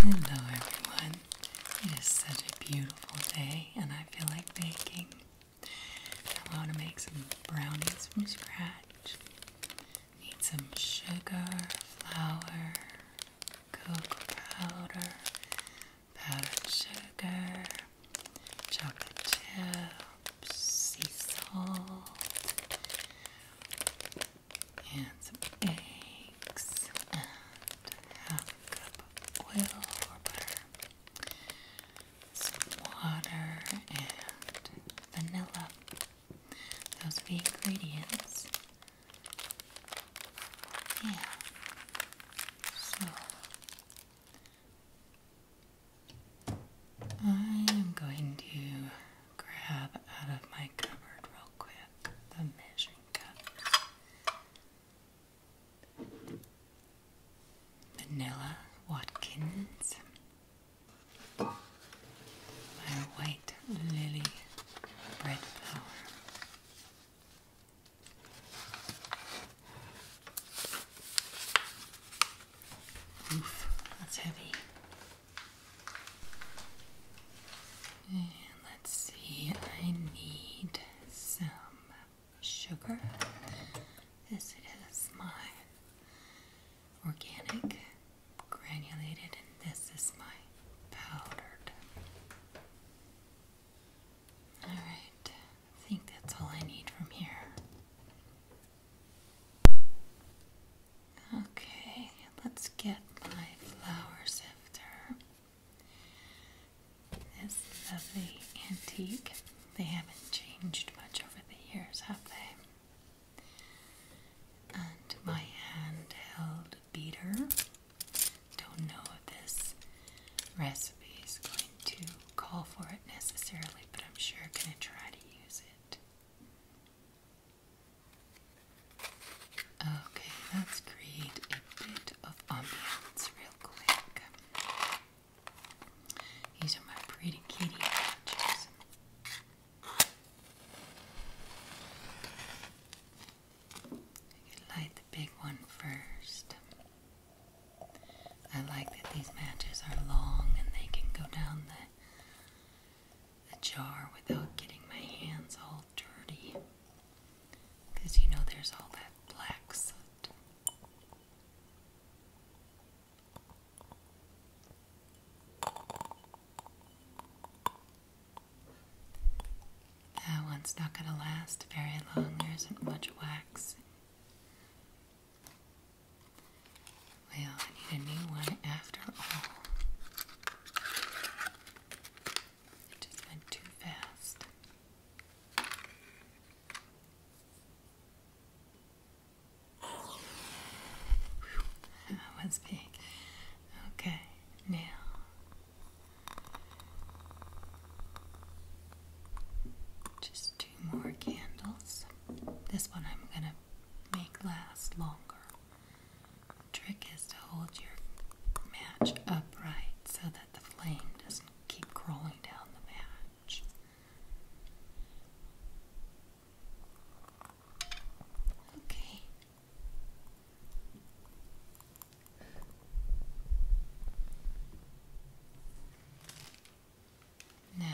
Hello everyone. It is such a beautiful day and I feel like baking. I want to make some brownies from scratch. Need some sugar, flour, cocoa powder, powdered sugar, chocolate chips, sea salt, and some eggs, and half a cup of oil or butter, some water, and vanilla. Those are the ingredients. Yeah. So I am going to grab out of my cupboard real quick the measuring cups. Vanilla Watkins. My white lily bread flower. Oof, that's heavy. let's see, I need some sugar. This is my organic granulated, and this is my powdered. All right, I think that's all I need from here. Okay, let's get my flower sifter. This lovely antique. They haven't changed much over the years, have they? And my handheld beater. Don't know if this recipe is going to call for it necessarily, but I'm sure going to try to use it. Okay, let's create a bit of ambience real quick. These my pretty kitty I can light the big one first. I like that these matches are long and they can go down the, the jar without getting my hands all dirty. Because you know there's all that black soot. That one's not going to last very long. There isn't much wax. Well, I need a new one after all. It just went too fast. that was big. Okay, now just two more candles. This one I'm going to make last longer. The trick is to hold your match upright so that the flame doesn't keep crawling down the match. Okay, now,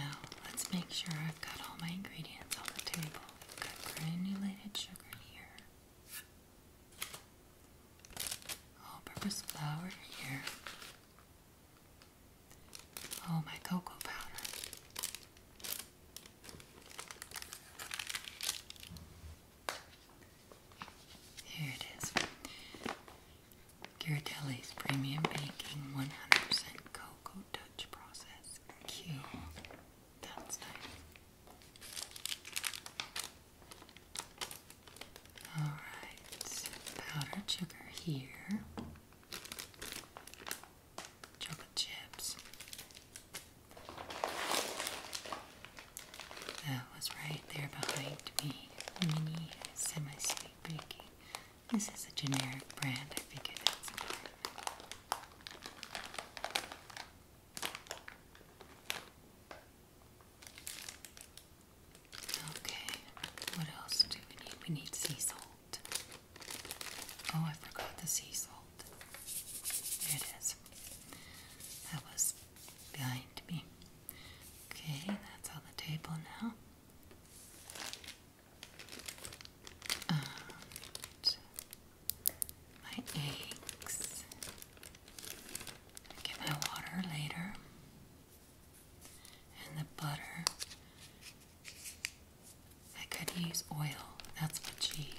let's make sure I've got all my ingredients on the table. i have got granulated sugar here, all purpose flour here, oh, my cocoa powder. Here it is. Ghirardelli's Premium Baking 100% Cocoa Touch Process. Q. That's nice. Alright, powdered sugar here. Chocolate chips. That was right there behind me. Mini semi baking. This is a generic brand. I figured. that's Okay, what else do we need? We need sea salt. Oh, I forgot the sea salt. There it is. That was behind me. Okay, that's on the table now. Um, my eggs. Get my water later. And the butter. I could use oil, that's what she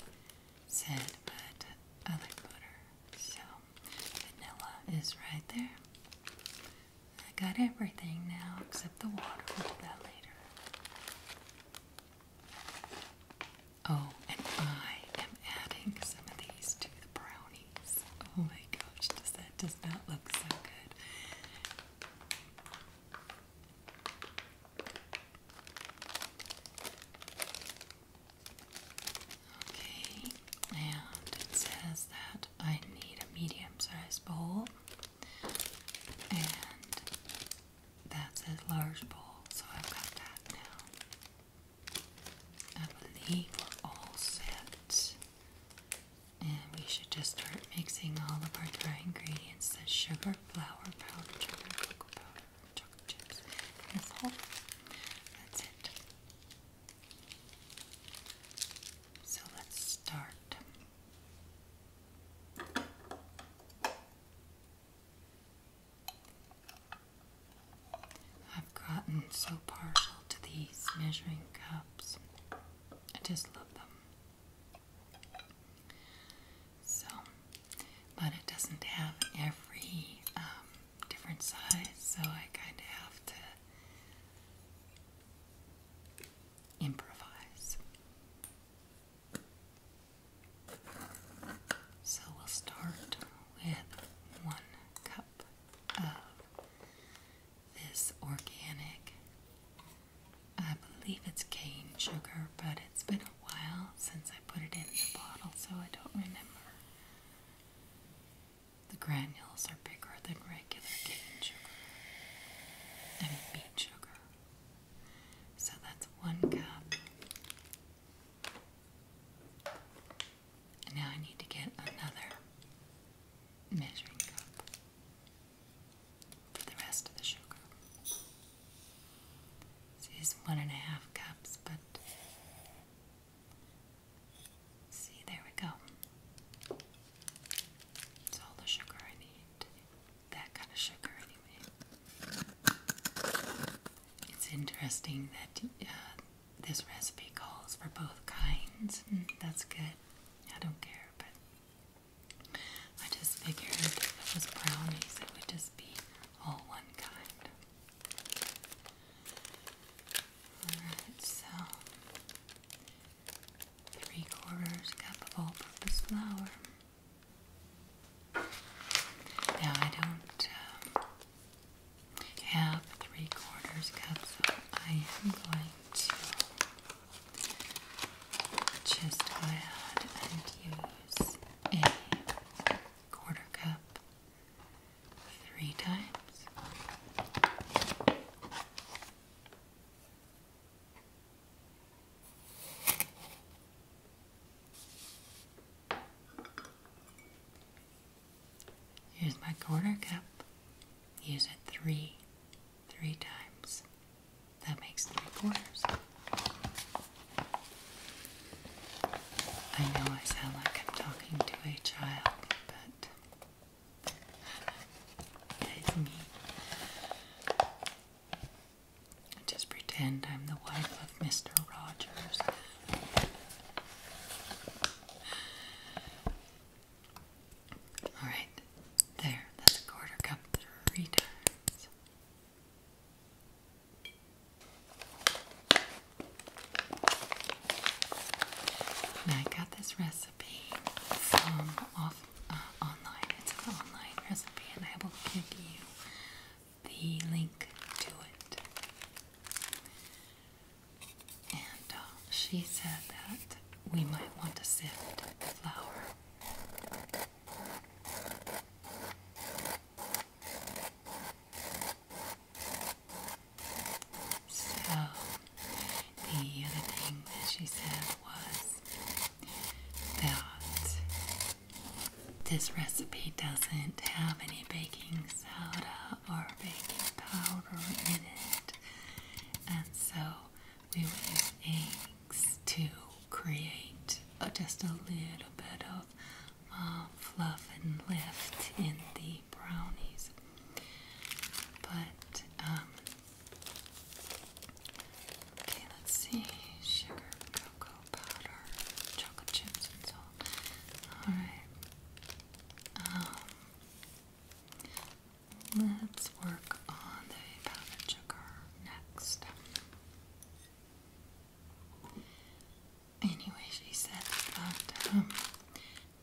said, but I like butter. So, vanilla is right there. I got everything now except the water. We'll do that later. Oh, and I am adding some of these to the brownies. Oh my gosh, does that does not look so good. Okay, and it says that I need a medium sized bowl, and that says large bowl, so I've got that now. I believe we're all set, and we should just start mixing all of our dry ingredients the sugar, flour, powdered sugar, cocoa powder chocolate chips That's it. So let's start. I've gotten so partial to these measuring cups. I just love them. So but it doesn't have every um, different size, so I kind of have to improvise. So we'll start with one cup of this organic, I believe it's cane sugar, but it's been a while since I put it in the bottle, so I don't remember. The granules are bigger than regular cane sugar. I beet sugar. So that's one cup. now I need to get another measuring cup for the rest of the sugar. This one and a half cups, but see, there we go. It's all the sugar I need. That kind of sugar, anyway. It's interesting that uh, this recipe calls for both kinds, hmm, that's good. I don't care, but I just figured if it was brownies, it would just be all one kind. Alright, so three quarters cup of all purpose flour. Now, I don't uh, have three quarters cup, so I am going to just go ahead and use a quarter cup three times. Here's my quarter cup. Use it three, three times. That makes three quarters. I know I sound like I'm talking to a child, but it's me. Just pretend I'm the wife of Mr. Rogers. Alright, there, that's a quarter cup three times. I got this recipe from off uh, online. It's an online recipe, and I will give you the link to it. And uh, she said that we might want to sift the flour. So, the other thing that she said was that this recipe doesn't have any baking soda or baking powder in it, and so we would use eggs to create just a little bit of uh, fluff and lift in the brownies. But, um, okay, let's see sugar, cocoa powder, chocolate chips, and so Alright. Um, let's work on the powdered sugar next. Anyway, she said um,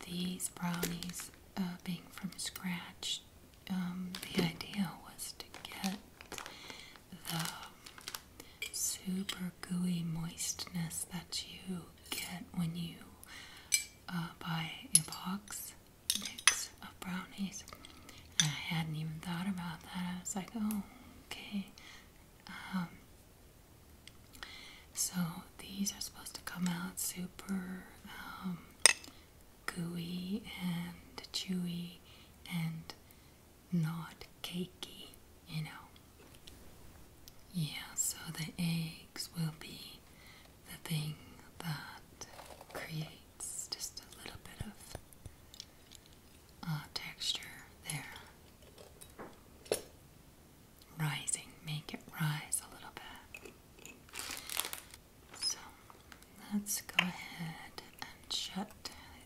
these brownies uh, being from scratch. Um, the idea was to get the super gooey moistness that you get when you uh, buy a box mix of brownies. And I hadn't even thought about that. I was like, oh, Okay. Um, so these are supposed to come out super um, gooey and chewy and not cakey, you know. Yeah, so the eggs will be the thing that creates just a little bit of texture there. Rising, make it rise a little bit. So let's go ahead and shut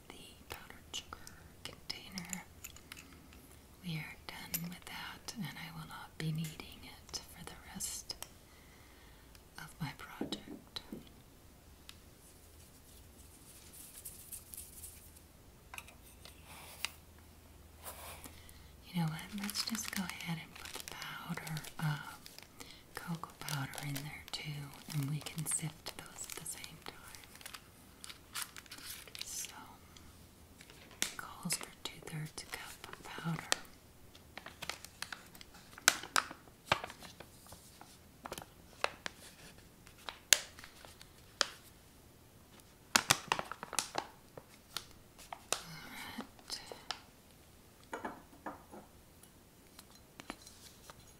the powdered sugar container. We are done with that, and I will not be needing it for the rest of my project. You know what? Let's just go ahead and put the powder, uh, cocoa powder in there too, and we can sift those at the same time. So, calls for two thirds a cup of powder i right.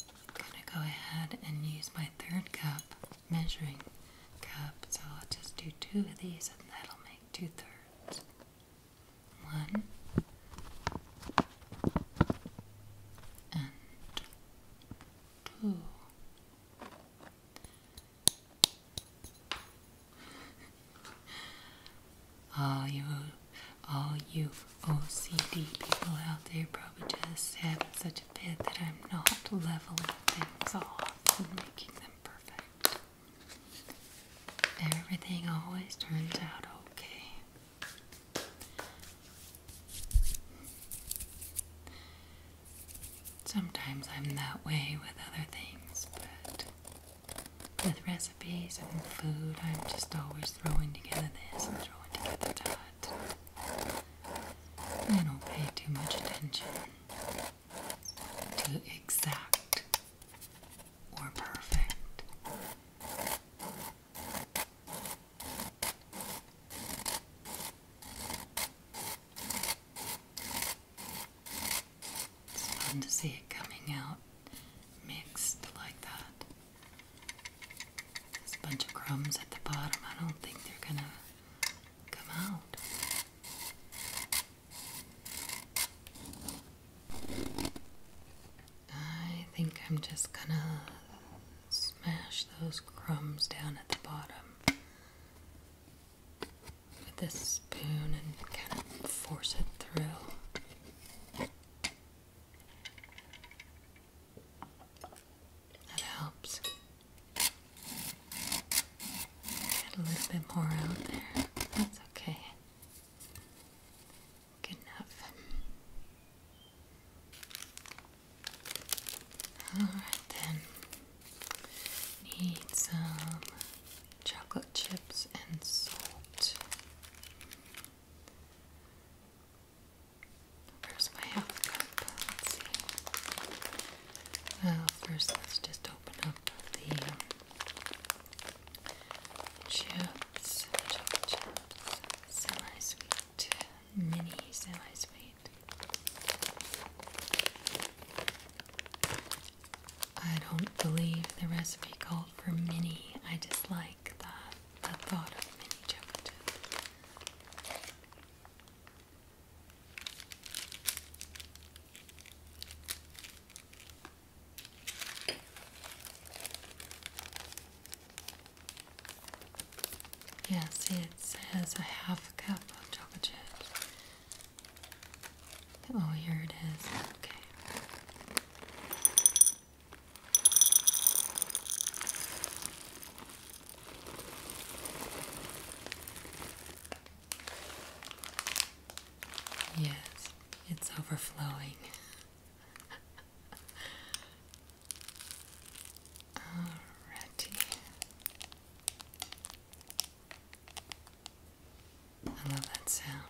I'm gonna go ahead and use my third cup, measuring cup, so I'll just do two of these and that'll make two thirds. One, and two. all you, all you OCD people out there probably just have such a bit that I'm not leveling things off and making them perfect. Everything always turns out okay. Sometimes I'm that way with other things, but with recipes and food, I'm just always throwing together this and throwing together that. I don't pay too much attention to exact or perfect. It's fun to see it coming out mixed like that. There's a bunch of crumbs at the bottom. I don't think they're gonna come out. I think I'm just gonna smash those crumbs down at the bottom with this spoon and kind of force it through. That helps. Get a little bit more out there. That's okay. Good enough. Alright then. Need some chocolate chips and salt. Where's my half cup? Let's see. Well, first let's just open up the chips, chocolate chips semi-sweet, mini semi-sweet. I don't believe the recipe called for mini. I dislike the, the thought of mini chocolate Yes, it says a half cup of chocolate chips. Oh, here it is. Okay. Yes, it's overflowing. Alrighty. I love that sound.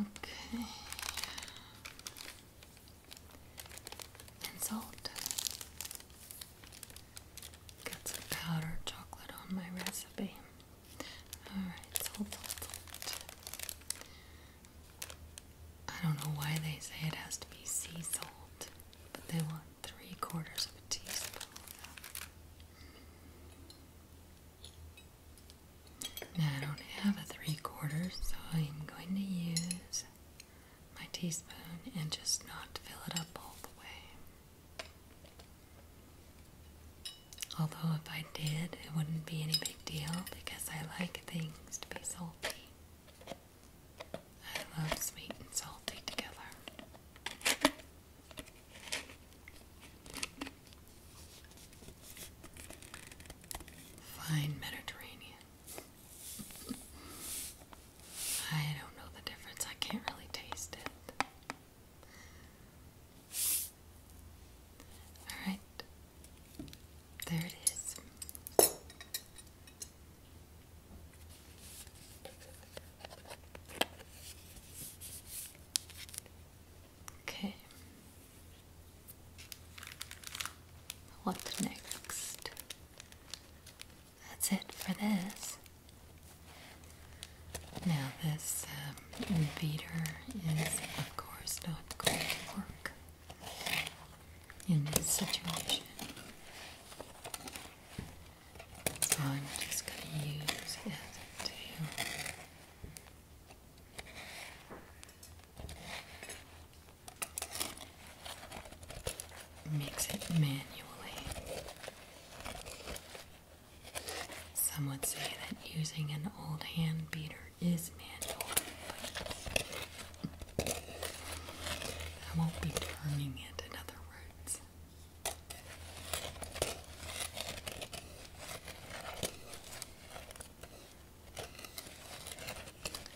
Okay and salt. Got some powdered chocolate on my recipe. Alright, salt, salt, salt. I don't know why they say it has to be sea salt, but they want three quarters of a teaspoon. Now I don't have a three quarters, so I'm going to use my teaspoon and just not fill it up all the way. Although, if I did, it wouldn't be any big deal because I like things to be salty. I love sweet and salty together. Fine Mediterranean. I don't know the difference. I can't really taste it. All right. There it is. Okay. What next? That's it for this. Now this um, is of course not going to work in this situation. So I'm just going to use it to mix it manually. Some would say that using an old hand beater is manual, but I won't be turning it, in other words.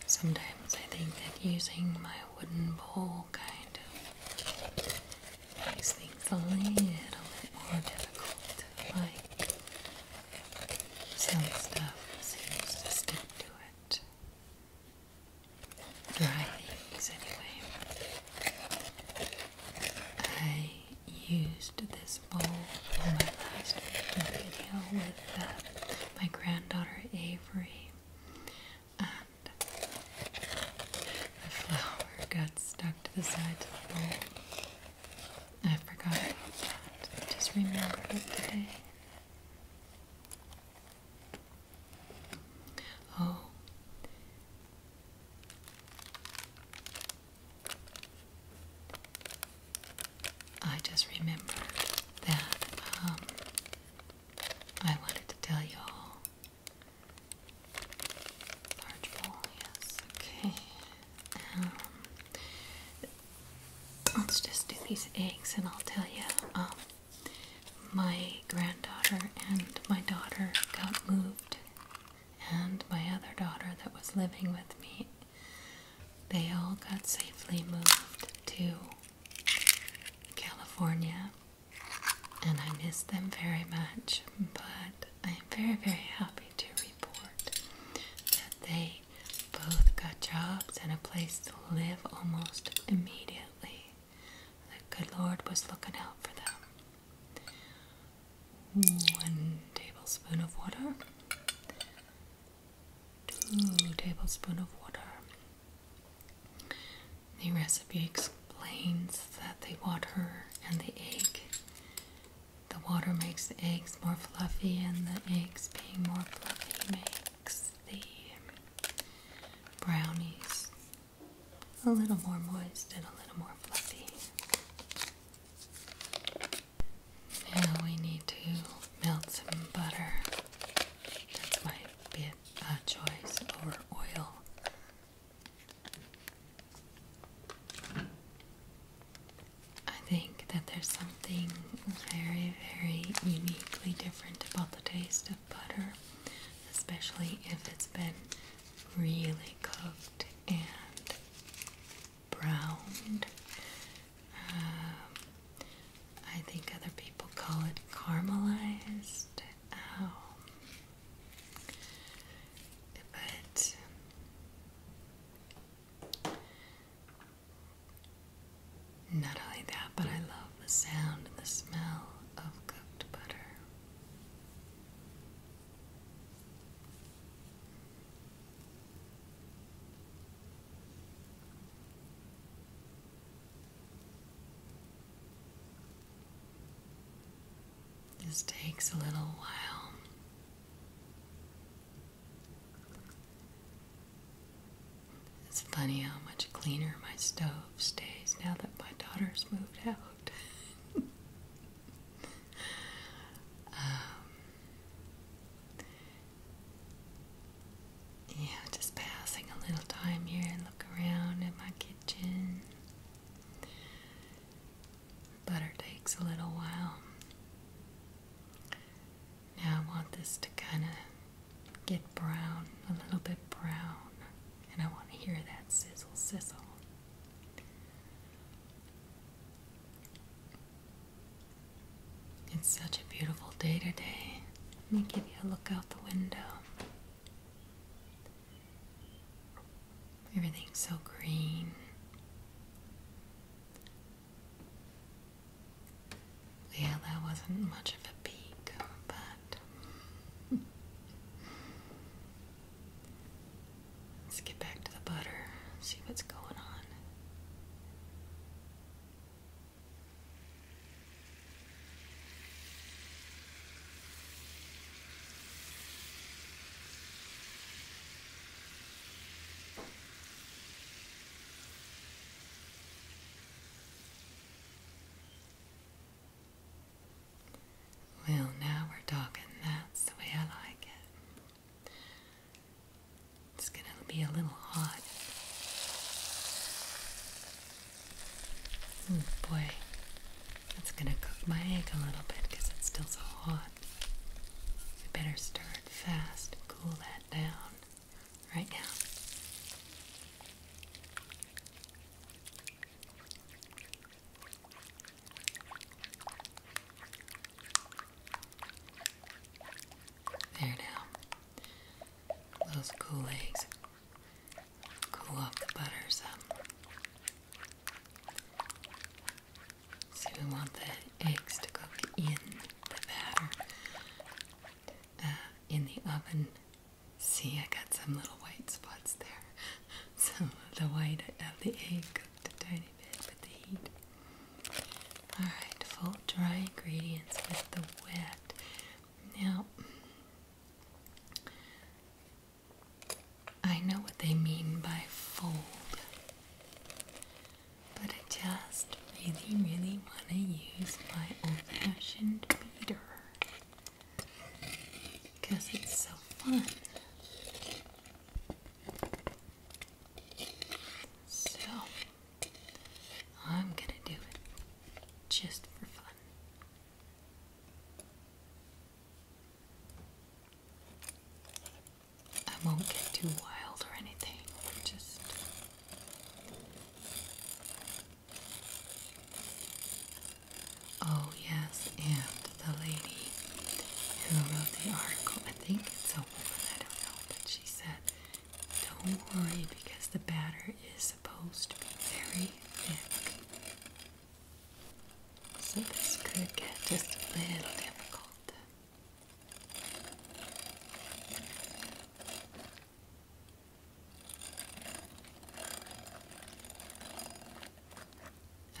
Sometimes I think that using my wooden bowl kind of makes things a little bit more difficult. Like, some stuff seems to stick to it. Dry things, anyway. I used this bowl in my last video with uh, my granddaughter Avery ivory, and the flower got stuck to the sides of the bowl. I forgot about that. just remembered it today. Oh. I just remember that um, I wanted to tell you all. Large bowl, yes, okay. Um, let's just do these eggs and I'll tell you. Um, my granddaughter and my daughter got moved, and my other daughter that was living with me they all got safely moved to California, and I miss them very much. But I am very, very happy to report that they both got jobs and a place to live almost immediately. The good Lord was looking out for them. One tablespoon of water. 2 tablespoons of water. The recipe explains that the water and the egg, the water makes the eggs more fluffy, and the eggs being more fluffy makes the brownies a little more moist and a little more fluffy. Now we need to melt some butter. That's my bit uh, choice over oil. I think that there's something very, very uniquely different about the taste of butter, especially if it's been really cooked and browned um, I think other people call it caramelized. Um, but not only that, but I love the sound and the smell of cooked butter. This takes a little while. It's funny how much cleaner my stove stays now that my daughter's moved out. Um, yeah, I'm just passing a little time here and look around at my kitchen. Butter takes a little while. Now I want this to kind of get brown, a little bit brown, and I want to hear that sizzle sizzle. It's such a beautiful day today. Let me give you a look out the window. Everything's so green. Yeah, that wasn't much of a peak, but let's get back to the butter, see what's going on. Well, now we're talking. That's the way I like it. It's gonna be a little hot. Oh boy, that's gonna cook my egg a little bit because it's still so hot. We better stir it fast and cool that down right now. There now. Those cool eggs. Cool off the butter some. So we want the eggs to cook in the batter. Uh, in the oven. See, I got some little white spots there. Some of the white of the egg cooked a tiny bit with the heat. Alright, fold dry ingredients with the wet. Now, I know what they mean by fold, but I just really, really want to use my old fashioned beater because it's so fun. So, I'm gonna do it just for fun. I won't get too wild or anything, just. Oh, yes, and the lady who wrote the article, I think it's a woman, I don't know, but she said don't worry because the batter is supposed to be very thick. So this could get just a little difficult.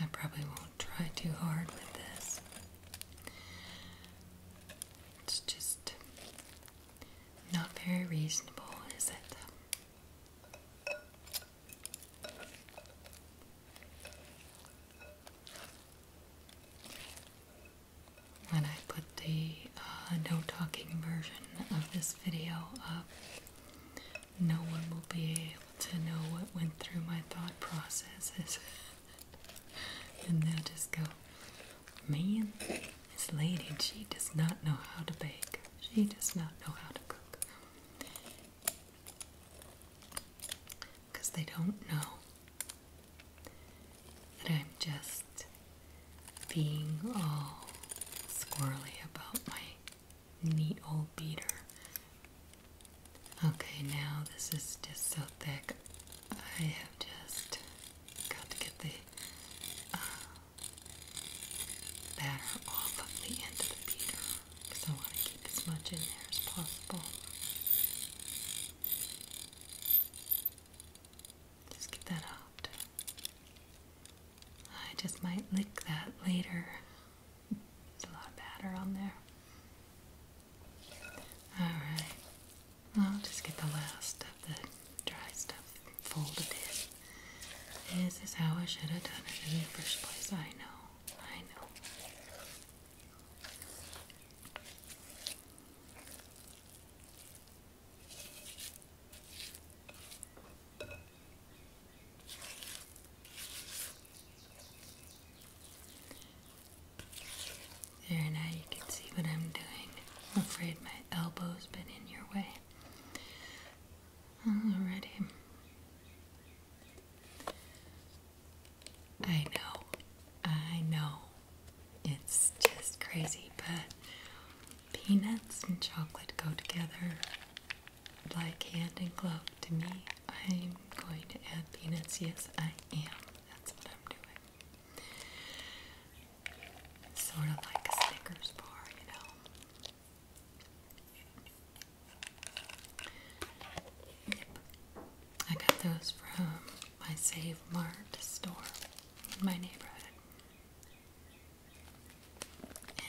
I probably won't try too hard with this. It's just not very reasonable, is it? When I put the uh, no talking version of this video up, no one will be able to know what went through my thought processes. and they'll just go, man, this lady, she does not know how to bake. She does not know how to cook. Because they don't know that I'm just being all squirly about my neat old beater Okay, now this is just so thick. I have just got to get the uh, batter off of the end of the beater because I want to keep as much in there as possible. Just get that out. I just might lick that later. There's a lot of batter on there. Alright, I'll just get the last of the dry stuff folded in. This is how I should have done it in the first place. I know, I know. There, now you can see what I'm doing. I'm afraid my elbow's been in your way. Alrighty. I know, I know. It's just crazy, but peanuts and chocolate go together like hand and glove to me. I'm going to add peanuts. Yes, I am. That's what I'm doing. Sort of like a Snickers bar, you know. I got those from my Save Mart store in my neighborhood.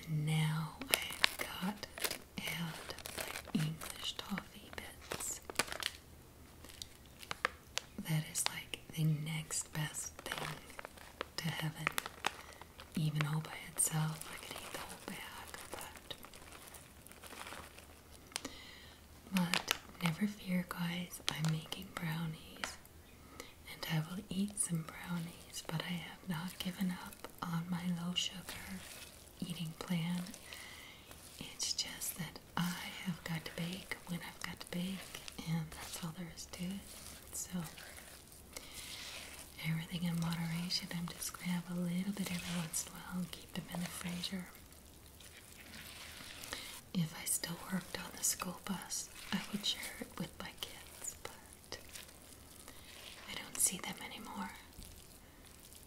And now i got to add my English toffee bits. That is like the next best thing to heaven. Even all by itself, I could eat the whole bag, but. But never fear, guys, I'm making brownies. And I will eat some brownies, but I have not given up on my low sugar eating plan. It's just that I have got to bake when I've got to bake, and that's all there is to it. So, everything in moderation. I'm just going to have a little bit every once in a while keep them in the freezer. If I still worked on the school bus, I would share it with my kids, but I don't see them anymore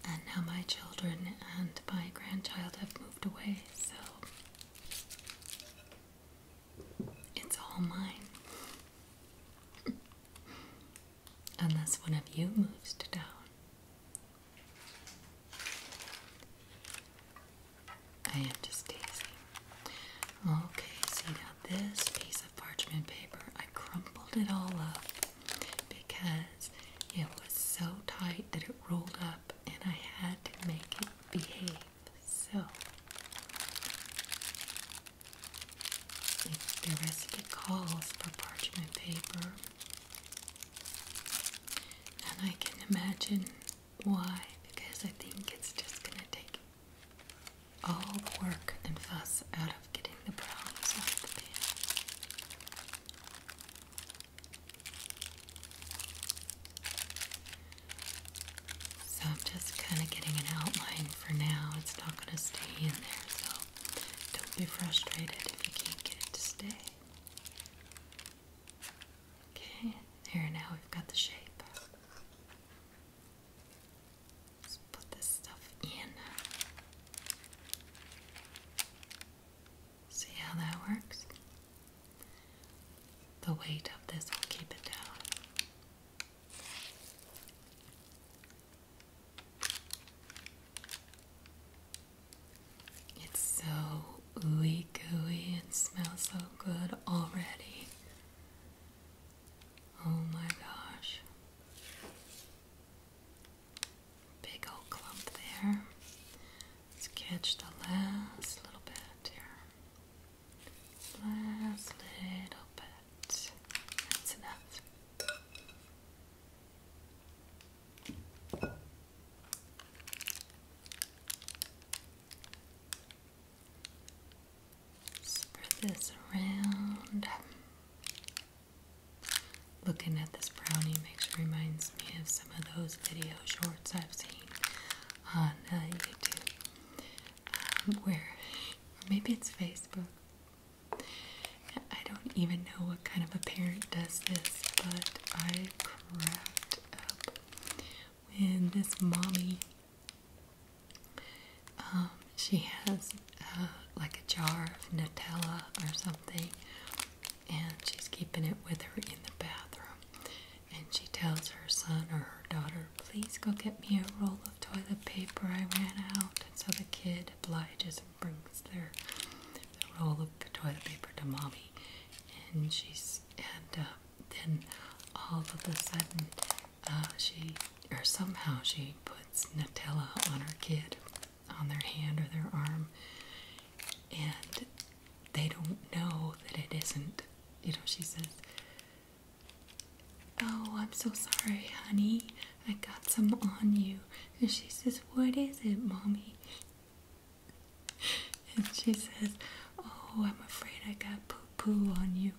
and now my children and my grandchild have moved away, so it's all mine. Unless one of you moves to town. I am just daisy. Okay, see now this piece of parchment paper, I crumpled it all up because it was so tight that it rolled up and I had to make it behave. So, the recipe calls for parchment paper, and I can imagine why, because I think it's just going to take all the work and fuss out of getting the brownies out of the pan. So I'm just kind of getting an outline for now. It's not going to stay in there, so don't be frustrated if you can't get it to stay. Okay, there now we've got the shape. Let's put this stuff in. See how that works? The weight of this will keep it down. It's so ooey gooey and smells so good already. Oh my gosh. Big old clump there. Let's catch the last little bit here. Last little bit. That's enough. Spread this around. Looking at this brownie makes reminds me of some of those video shorts I've seen on uh, YouTube, um, where maybe it's Facebook. I don't even know what kind of a parent does this, but I cracked up when this mommy. Um, she has like a jar of Nutella or something, and she's keeping it with her in the bathroom. And she tells her son or her daughter, Please go get me a roll of toilet paper, I ran out. And so the kid obliges and brings their, roll of toilet paper to mommy. And she's, and uh, then all of a sudden, uh, she, or somehow she puts Nutella on her kid on their hand or their arm, and they don't know that it isn't. You know, she says, Oh, I'm so sorry, honey. I got some on you. And she says, What is it, mommy? And she says, Oh, I'm afraid I got poo poo on you.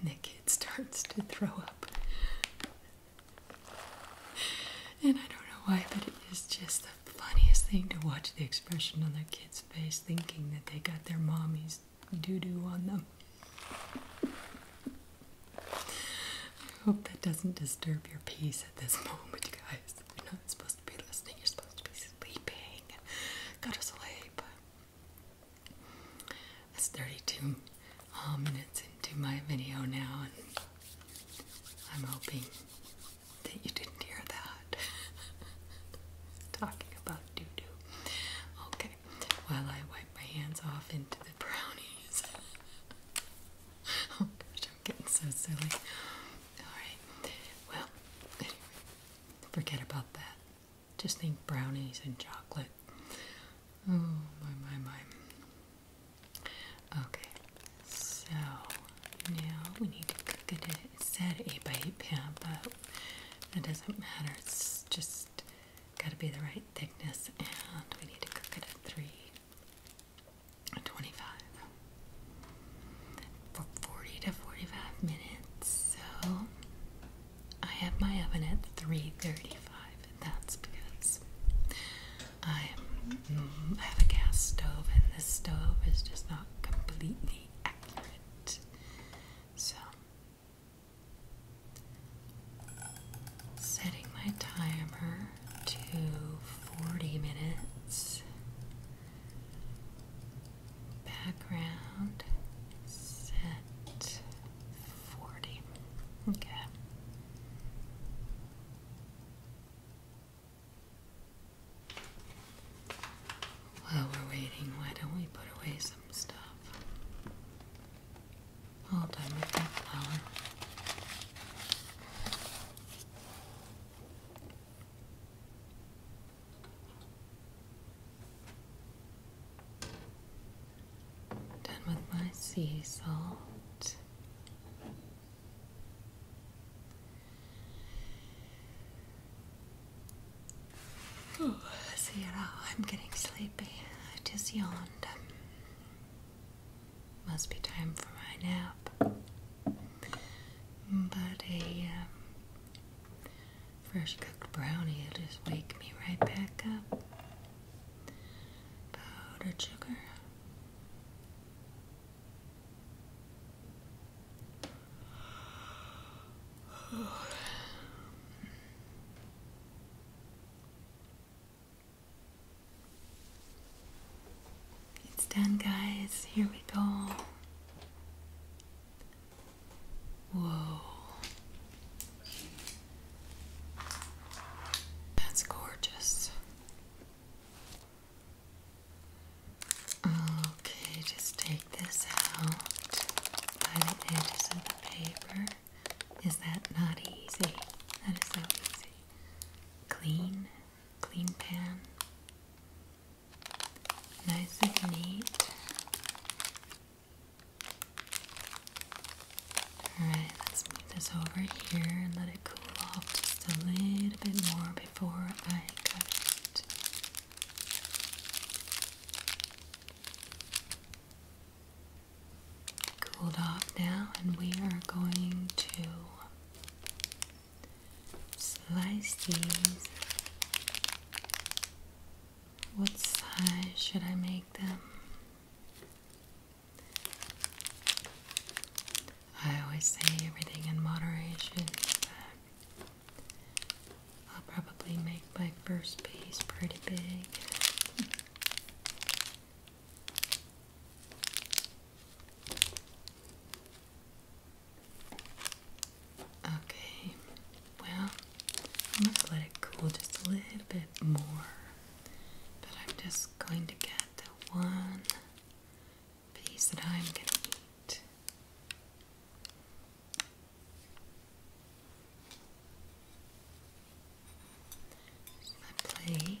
And the kid starts to throw up and I don't know why, but it is just the funniest thing to watch the expression on their kid's face thinking that they got their mommy's doo doo on them. I hope that doesn't disturb your peace at this moment, guys. You're not supposed to be listening, you're supposed to be sleeping. Go to sleep. That's 32 um, minutes into my video now, and I'm hoping that you didn't hear that. Talking about doo doo. Okay, while I wipe my hands off into the brownies. oh gosh, I'm getting so silly. Alright, well, forget about that. Just think brownies and chocolate. Oh my my my. Okay, so now we need to cook it. It said eight by eight pan, but it doesn't matter. It's just got to be the right thickness, and we need to cook it at three twenty-five for forty to forty-five minutes. So I have my oven at three thirty-five that's because mm, I have a gas stove, and this stove is just not completely accurate. So, setting my timer to 40 minutes. Background set 40. Okay. While we're waiting, why don't we put away some stuff? All done with that flower. Done with my sea salt. Oh, see it all. I'm getting sleepy. I just yawned. Um, must be time for my nap. But a um, fresh cooked brownie will just wake me right back up. Powder sugar. It's done, guys. Here we go. Whoa. That's gorgeous. Okay, just take this out by the edges of the paper. Is that not easy? That is so easy. Clean, clean pan. Nice and neat. Alright, let's move this over here and let it cool off just a little bit more before I cut it. Cooled off now, and we are going to slice these. What size should I make them? I always say everything in moderation, I'll probably make my first piece pretty big. Okay, well, I must let it cool just a little bit more. But I'm just going to get the one piece that I'm going to eat. my plate.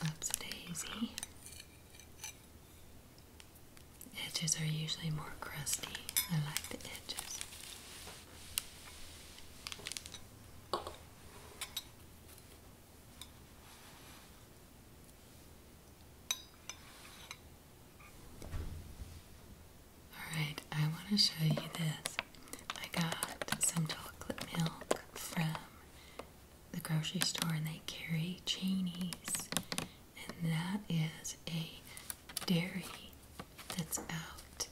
That's daisy. Edges are usually more crusty. I like the edges. Alright, I want to show you this. I got some chocolate milk from the grocery store and they carry Cheney's and that is a dairy that's out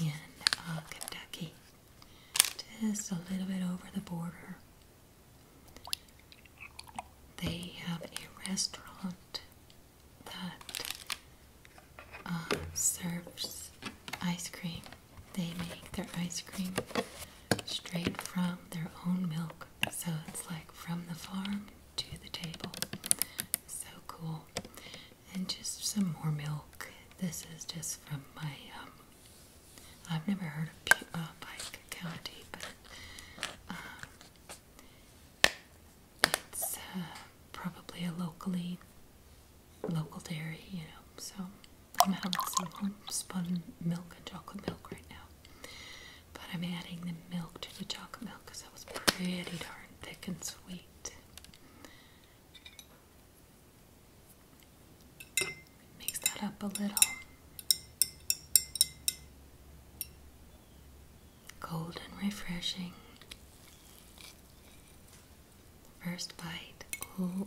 in uh, Kentucky, just a little bit over the border. They have a restaurant that uh, serves ice cream. They make their ice cream straight from their own milk, so it's like from the farm to the table. So cool. And just some more milk. This is just from my, um, I've never heard of uh, Pike County, but um, it's uh, probably a locally, local dairy, you know, so I'm having some homespun milk and chocolate milk right now. But I'm adding the milk to the chocolate milk because that was pretty darn thick and sweet. Mix that up a little. Cold refreshing. First bite. Ooh,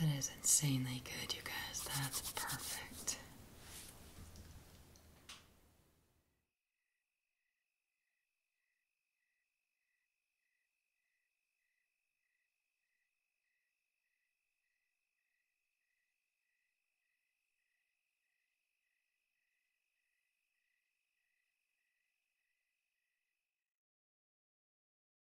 That is insanely good, you guys. That's perfect.